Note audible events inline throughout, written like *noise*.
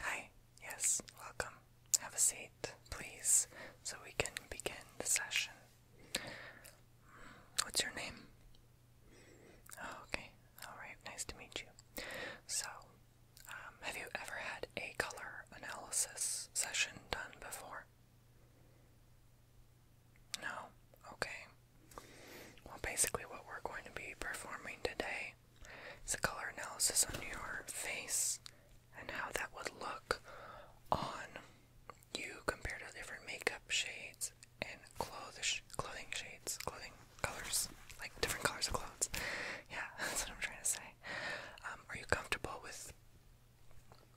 Hi, yes, welcome. Have a seat, please, so we can begin the session. What's your name? Oh, okay, alright, nice to meet you. So, um, have you ever had a color analysis session done before? No? Okay. Well, basically, what we're going to be performing today it's a color analysis on your face and how that would look on you compared to different makeup shades and clothes, clothing shades, clothing colors, like different colors of clothes. Yeah, *laughs* that's what I'm trying to say. Um, are you comfortable with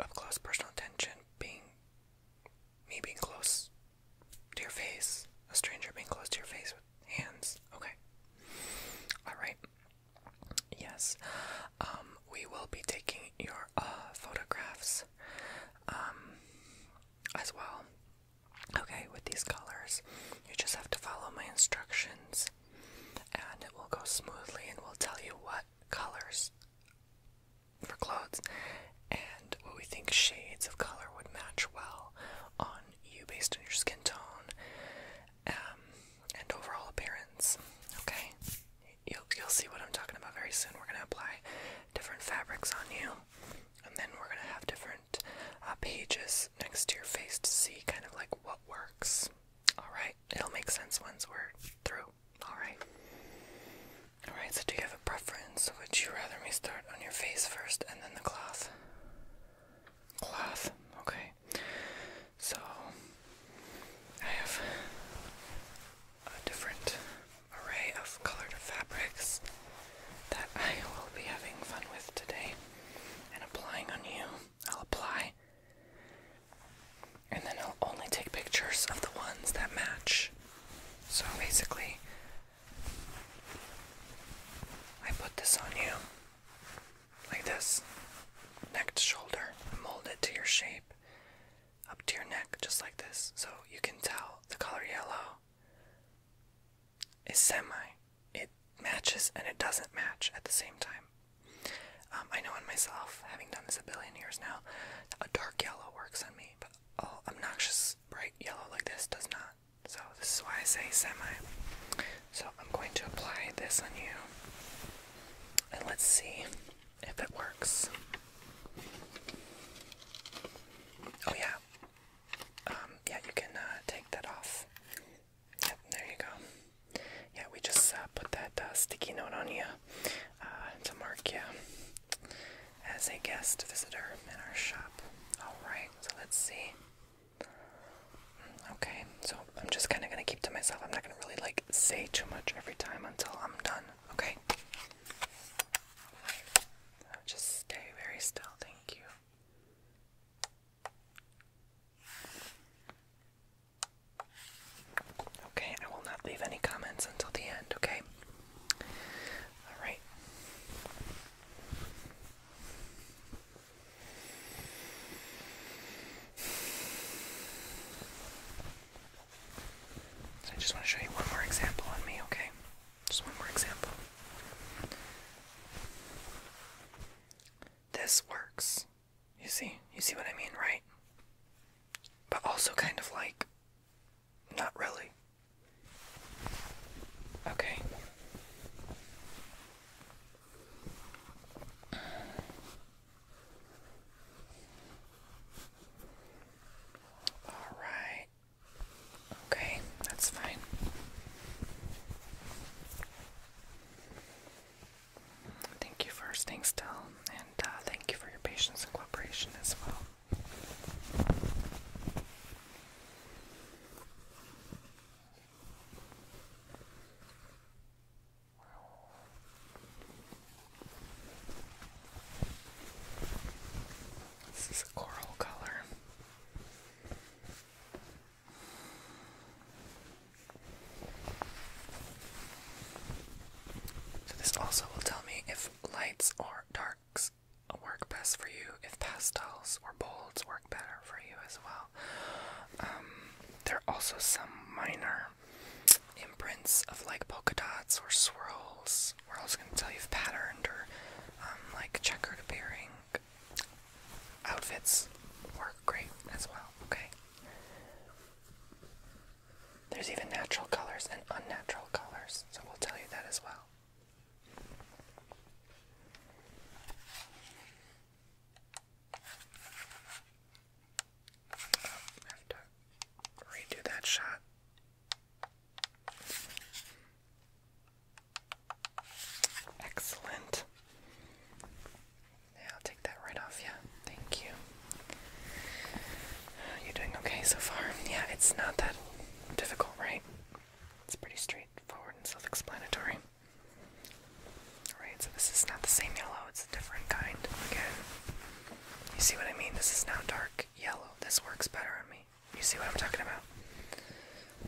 up close personal attention being me being close to your face. A stranger being close to your face with hands. Okay. Alright. Yes. Um, we will be taking your uh, photographs um, as well. Okay, with these colors. You just have to follow my instructions and it will go smoothly and we'll tell you what colors for clothes and what we think shades of color would match well on you based on your skin tone um, and overall appearance. Okay, you'll you'll see what I'm talking about very soon. We're gonna apply different fabrics on you, and then we're gonna have different uh, pages next to your face to see kind of like what works. All right, it'll make sense once we're through. All right. Alright, so do you have a preference? Would you rather me start on your face first and then the cloth? Cloth, okay. So, I have a different array of colored fabrics that I will be having fun with today and applying on you. I'll apply and then I'll only take pictures of the ones that match. So basically, I put this on you like this, neck to shoulder, molded to your shape, up to your neck, just like this, so you can tell the color yellow is semi. It matches and it doesn't match at the same time. Um, I know on myself, having done this a billion years now, a dark yellow works on me, but oh, obnoxious bright yellow like this does not. So this is why I say semi. So I'm going to apply this on you. And let's see if it works. Oh yeah. Um, yeah, you can uh, take that off. there you go. Yeah, we just uh, put that uh, sticky note on you. Uh, to mark you as a guest visitor in our shop. Alright, so let's see. Mm, okay, so I'm just kind of going to keep to myself. I'm not going to really like say too much every time until I'm done, okay? Just stay very still, thank you. Okay, I will not leave any comments until the end, okay? All right. So I just want to show you one more example on me, okay? Just one more example. This works. You see? You see what I mean, right? But also kind of like not really. Okay. All right. Okay, that's fine. Thank you for staying still uh, thank you for your patience and cooperation as well. This is a coral color. So this also will tell me if lights or darks work best for you, if pastels or bolds work better for you as well. Um, there are also some minor imprints of like polka dots or swirls. We're also going to tell you if patterned or um, like checkered appearing outfits work great as well, okay? There's even natural colors and unnatural colors, so we'll tell you that as well. have to redo that shot. Excellent. Yeah, I'll take that right off. Yeah, thank you. You doing okay so far? Yeah, it's not that difficult, right? It's pretty straightforward and self-explanatory. Alright, so this is not the same yellow, it's a different kind. Again, you see what I mean? This is now dark yellow. This works better on me. You see what I'm talking about?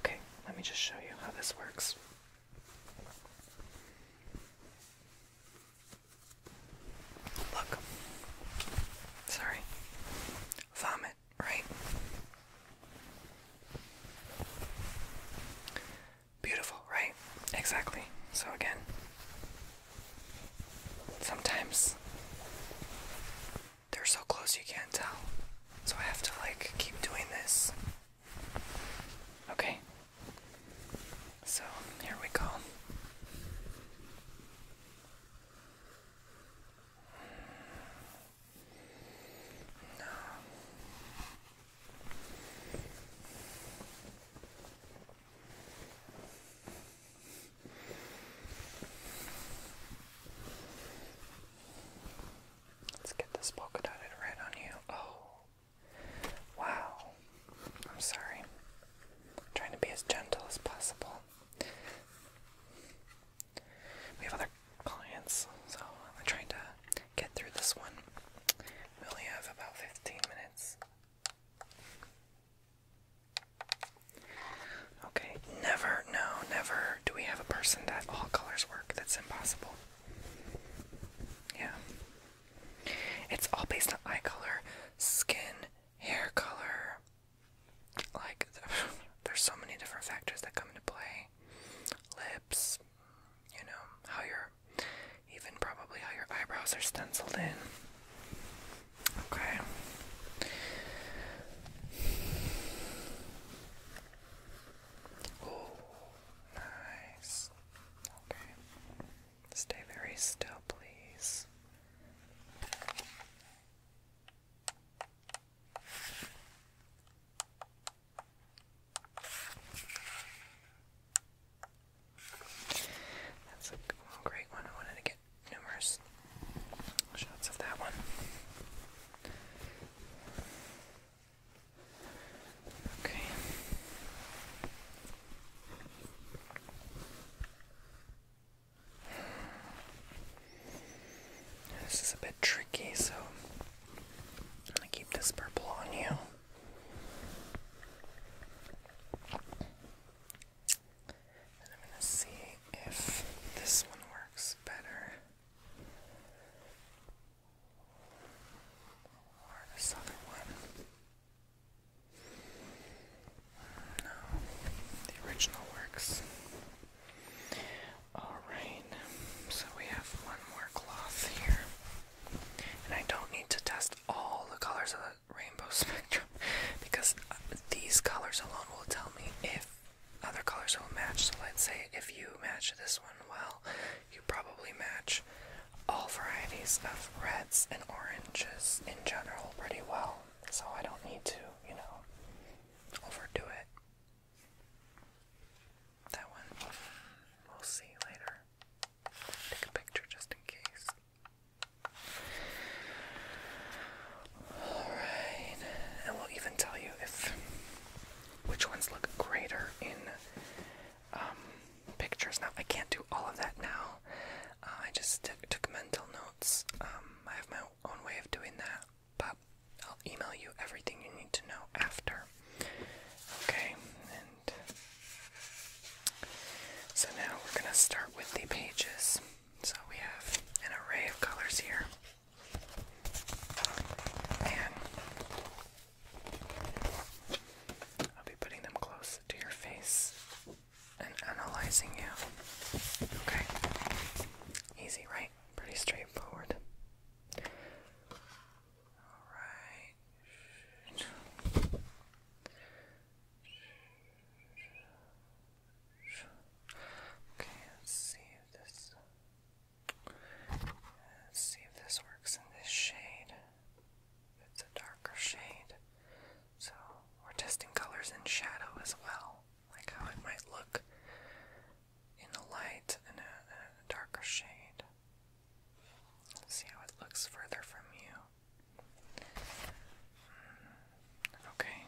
Okay, let me just show you how this works. Look. Sorry. Vomit, right? Beautiful, right? Exactly. So again, sometimes they're so close you can't tell. So I have to like keep doing this Okay. So, here we go. Let's get this polka dotted right on you. Oh, Wow. I'm sorry. I'm trying to be as gentle as possible. We have other clients, so I'm trying to get through this one. We only have about 15 minutes. Okay, never, no, never do we have a person that all colors work. That's impossible. Yeah. It's all based on eye color, skin, hair color. Like, *laughs* there's so many different factors that come into play. Lips, you know, how your, even probably how your eyebrows are stenciled in. Okay. nice. Okay. Stay very still, please. That's a great one. I wanted to get numerous shots of that one. Okay. This is a bit tricky, so I'm going to keep this purple on you. And I'm going to see if this one works better. Or this other one. No, the original works. Alright, so we have one more cloth here. And I don't need to test all the colors of the rainbow *laughs* spectrum because these colors alone will tell me if other colors will match. So let's say if you match this one well you probably match all varieties of reds and oranges in general pretty well, so I don't need to, you know, overdo it. That one, we'll see later. Take a picture just in case. Alright, and we'll even tell you if which ones look greater in um, pictures. Now, I can't do all of that now. Uh, I just took mental notes. Um, I have my own way of doing that, but I'll email you everything you need to know after. Okay, so now we're going to start with the pages. So we have an array of colors here. And I'll be putting them close to your face and analyzing you. Okay? Easy, right? Pretty straightforward. Alright. Okay, let's see if this Let's see if this works in this shade. It's a darker shade. So we're testing colors in shadow as well, like how it might look in a light and a, darker shade. see how it looks further from you. Hmm. Okay.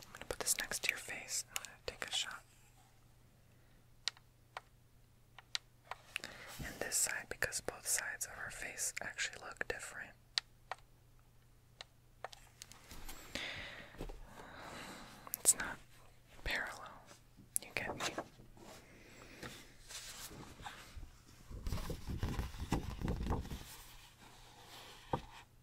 I'm gonna put this next to your face. I'm gonna take a shot. And this side, because both sides of our face actually look different. It's not parallel. You get me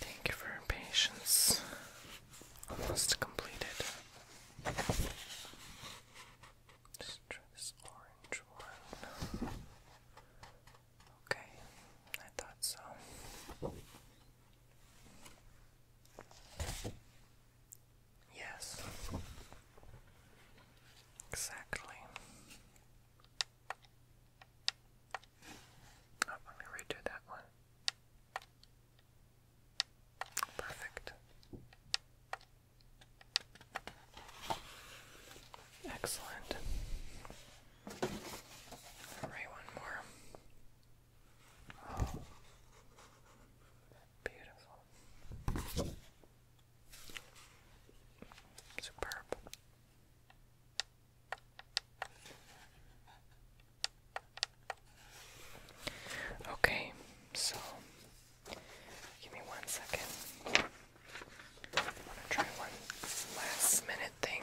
Thank you for your patience. Almost completed. Just this orange one. Okay, I thought so. Yes. Exactly. Oh, let me redo that one. Perfect. Excellent. All right, one more. Oh, beautiful. Superb. Okay, so give me one second. I want to try one last minute thing.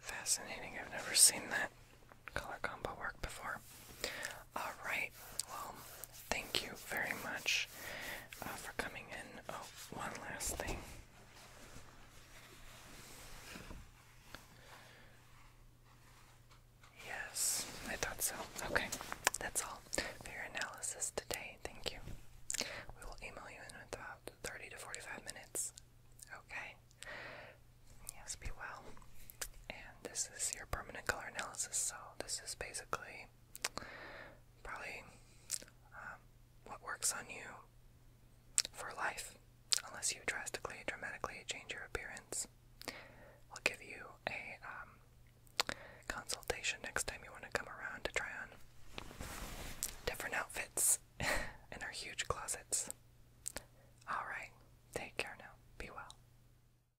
Fascinating, I've never seen that color combo work before. Alright, well, thank you very much uh, for coming in. Oh, one last thing. Yes, I thought so. Okay, that's all your analysis today. Thank you. We will email you in about 30 to 45 minutes. Okay? Yes, be well. And this is your permanent color analysis, so this is basically probably um, what works on you for life, unless you drastically, dramatically change your appearance. I'll give you a um, consultation next time you want to come around to try on different outfits *laughs* in our huge closets. Alright, take care now. Be well.